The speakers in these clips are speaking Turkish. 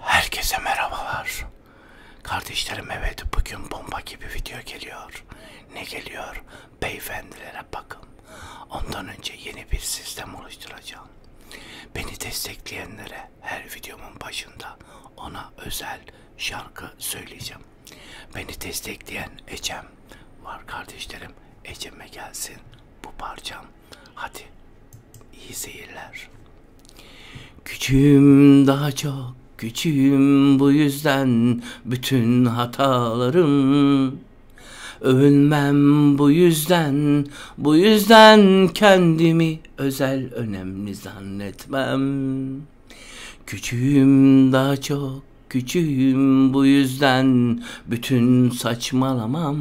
Herkese merhabalar. Kardeşlerim evet bugün bomba gibi video geliyor. Ne geliyor? Beyefendilere bakın. Ondan önce yeni bir sistem oluşturacağım. Beni destekleyenlere her videomun başında ona özel şarkı söyleyeceğim. Beni destekleyen Ecem var kardeşlerim. Ecem'e gelsin bu parçam Hadi iyi seyirler. Küçüğüm daha çok küçüğüm bu yüzden bütün hatalarım. Övünmem bu yüzden, bu yüzden kendimi özel önemli zannetmem. Küçüğüm daha çok küçüğüm bu yüzden bütün saçmalamam.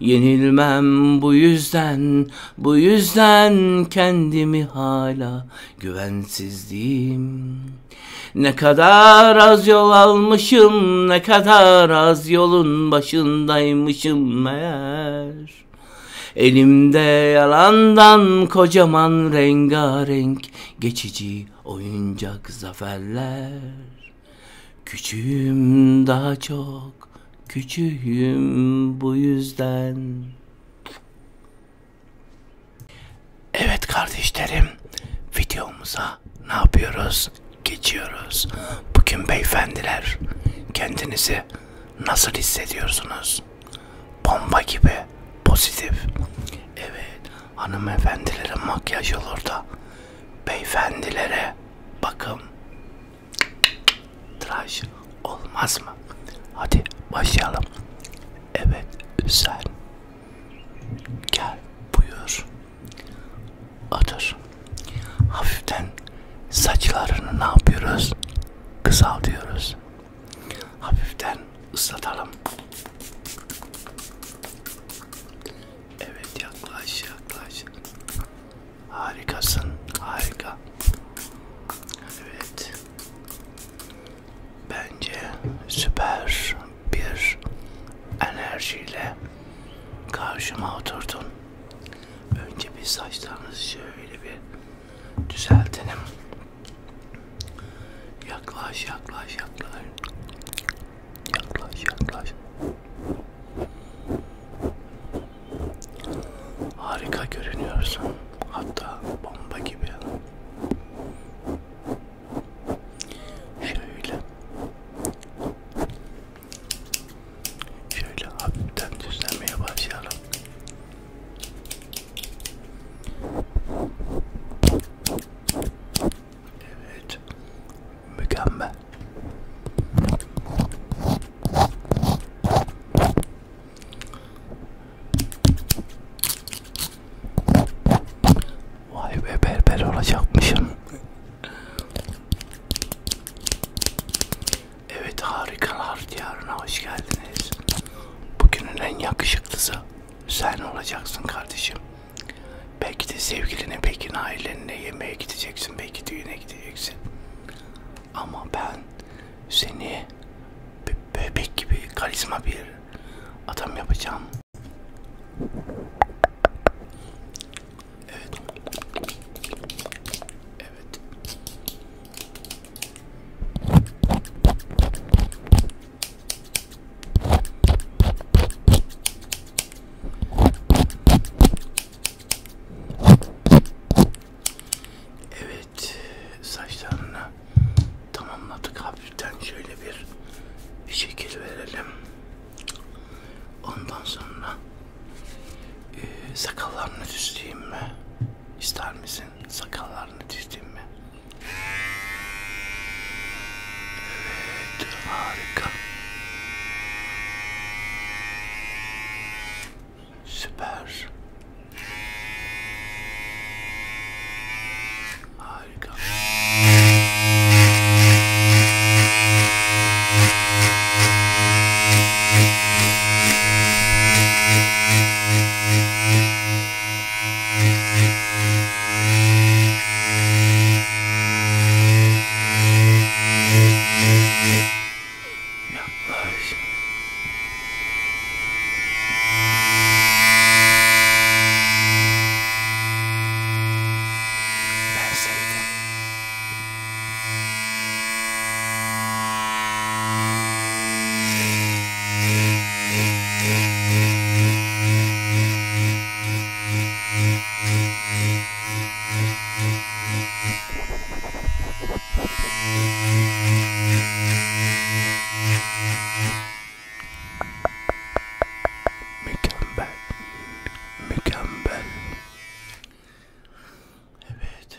Yenilmem bu yüzden, bu yüzden kendimi hala güvensizliğim. Ne kadar az yol almışım, ne kadar az yolun başındaymışım meğer. Elimde yalandan kocaman rengarenk geçici oyuncak zaferler. Küçüğüm daha çok, küçüğüm bu yüzden. Evet kardeşlerim, videomuza ne yapıyoruz? Geçiyoruz. Bugün beyefendiler, kendinizi nasıl hissediyorsunuz? Bomba gibi, pozitif. Evet, hanımefendilere makyaj olur da beyefendilere bakım tıraş olmaz mı? Hadi başlayalım. Evet sen gel buyur. Otur. Hafiften saçlarını ne yapıyoruz? Kısaltıyoruz. Hafiften ıslatalım. Evet yaklaş yaklaş. Harikasın harika. Evet. Bence süper bir enerjiyle karşıma oturdun. Önce bir saçlarınızı şöyle bir düzeltelim. Yaklaş yaklaş yaklaş. Yaklaş yaklaş. Harika görünüyorsun. Hatta bomba gibi. Şöyle. Şöyle hafiften düzlemeye başlayalım. Evet. Mükemmel. Vay be berber olacakmışım. Evet harikalar diyarına hoş geldiniz. Bugünün en yakışıklısı sen olacaksın kardeşim. Belki de sevgiline, belki de ailenle yemeğe gideceksin, belki düğüne gideceksin. Ama ben seni be bebek gibi karizma bir adam yapacağım. Evet. Evet. Evet, saçlarını tamamladık hafiften şöyle bir, bir şekil verelim. Ondan sonra e, sakallarını düzleyeyim mi? İster misin sakallarını düzleyeyim mi? Evet, harika. Süper. Harika. Müzik Mükemmel. Mükemmel. Evet.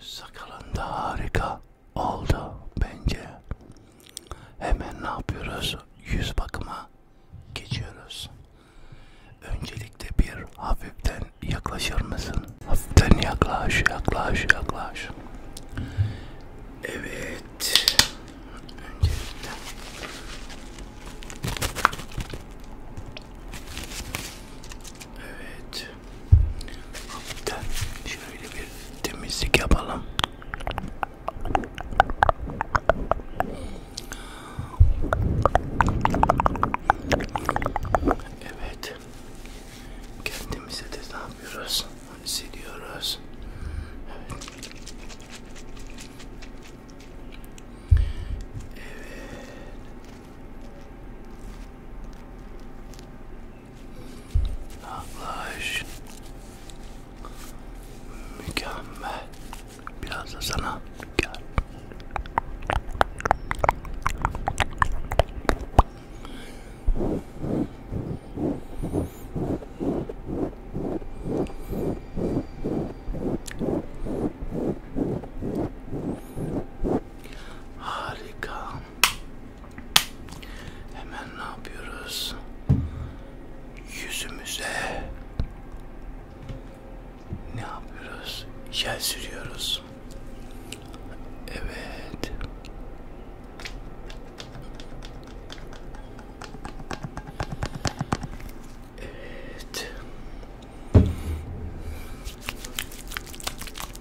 Sakalın da harika oldu bence. Hemen ne yapıyoruz? Yüz bakıma geçiyoruz. Öncelikle bir hafiften yaklaşır mısın? Hafiften yaklaş, yaklaş, yaklaş. Evet. Öncelikle. Evet. Hafiften şöyle bir temizlik yapalım. Evet. Kendimize de ne yapıyoruz? Siliyoruz. Evet. Evet. Naklaş. Mükemmel. Biraz da sana gel. Harika. Hemen ne yapıyoruz? Yüzümüze ne yapıyoruz? Jel sürüyoruz. Evet. Evet.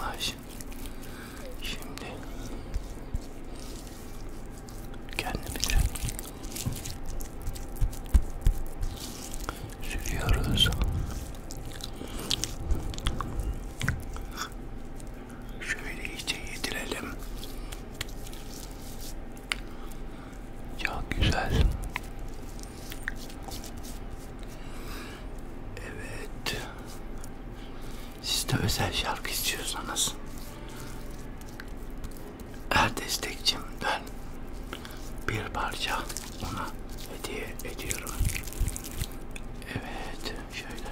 Allah şimdi, şimdi kendimi de sürüyoruz. Şöyle iyice yedirelim. Ya güzel. Evet. Siz de özel şarkı istiyorsanız her destekçimden bir parça ona hediye ediyorum. Evet, şöyle.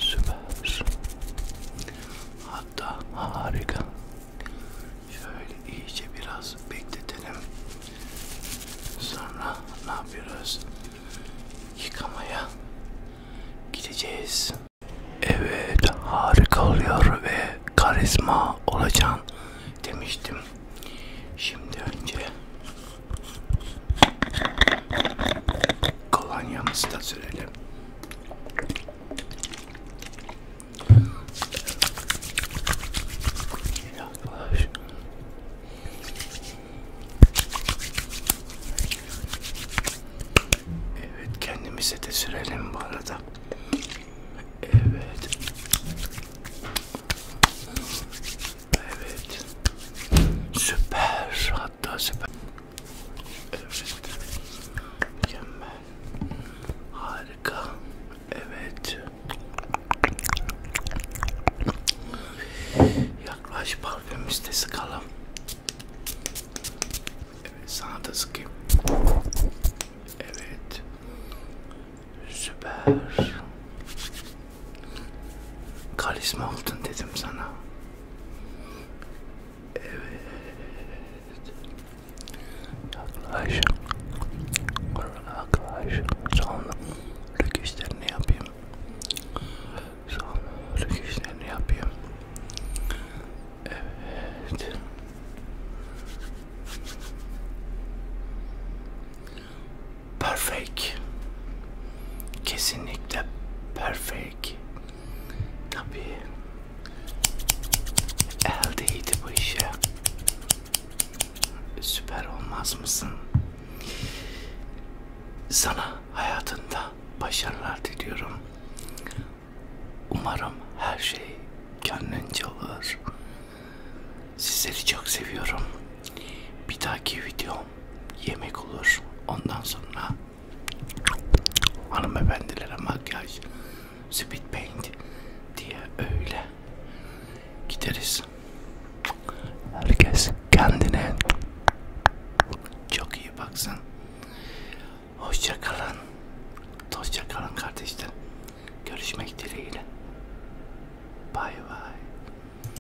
Süper. Hatta harika. Şöyle iyice biraz bekletelim. Sonra ne yapıyoruz? Yıkamaya gideceğiz. Evet harika oluyor ve karizma olacaksın demiştim. Şimdi önce kolonyamızı da sürelim. Yaklaş. Evet kendimize de sürelim bu arada. Evet. Evet. Süper. Hatta süper. Evet. Mükemmel. Harika. Evet. Yaklaş parfümümüzde sıkalım. Evet sana da sıkayım. Evet. Süper. Karizma oldun dedim sana. Evet. Yaklaş. Yaklaş. Sonra lük işlerini yapayım. Sonra lük işlerini yapayım. Evet. Perfect. Kesinlikle perfect. Tabii. Eldeydi bu işe. Süper olmaz mısın? Sana hayatında başarılar diliyorum. Umarım her şey kendince olur. Sizleri çok seviyorum. Bir dahaki videom yemek olur. Ondan sonra hanımefendilere makyaj, speed paint diye öyle gideriz. Herkes kendine çok iyi baksın. Hoşça kalın. Hoşça kalın kardeşler. Görüşmek dileğiyle. Bay bay.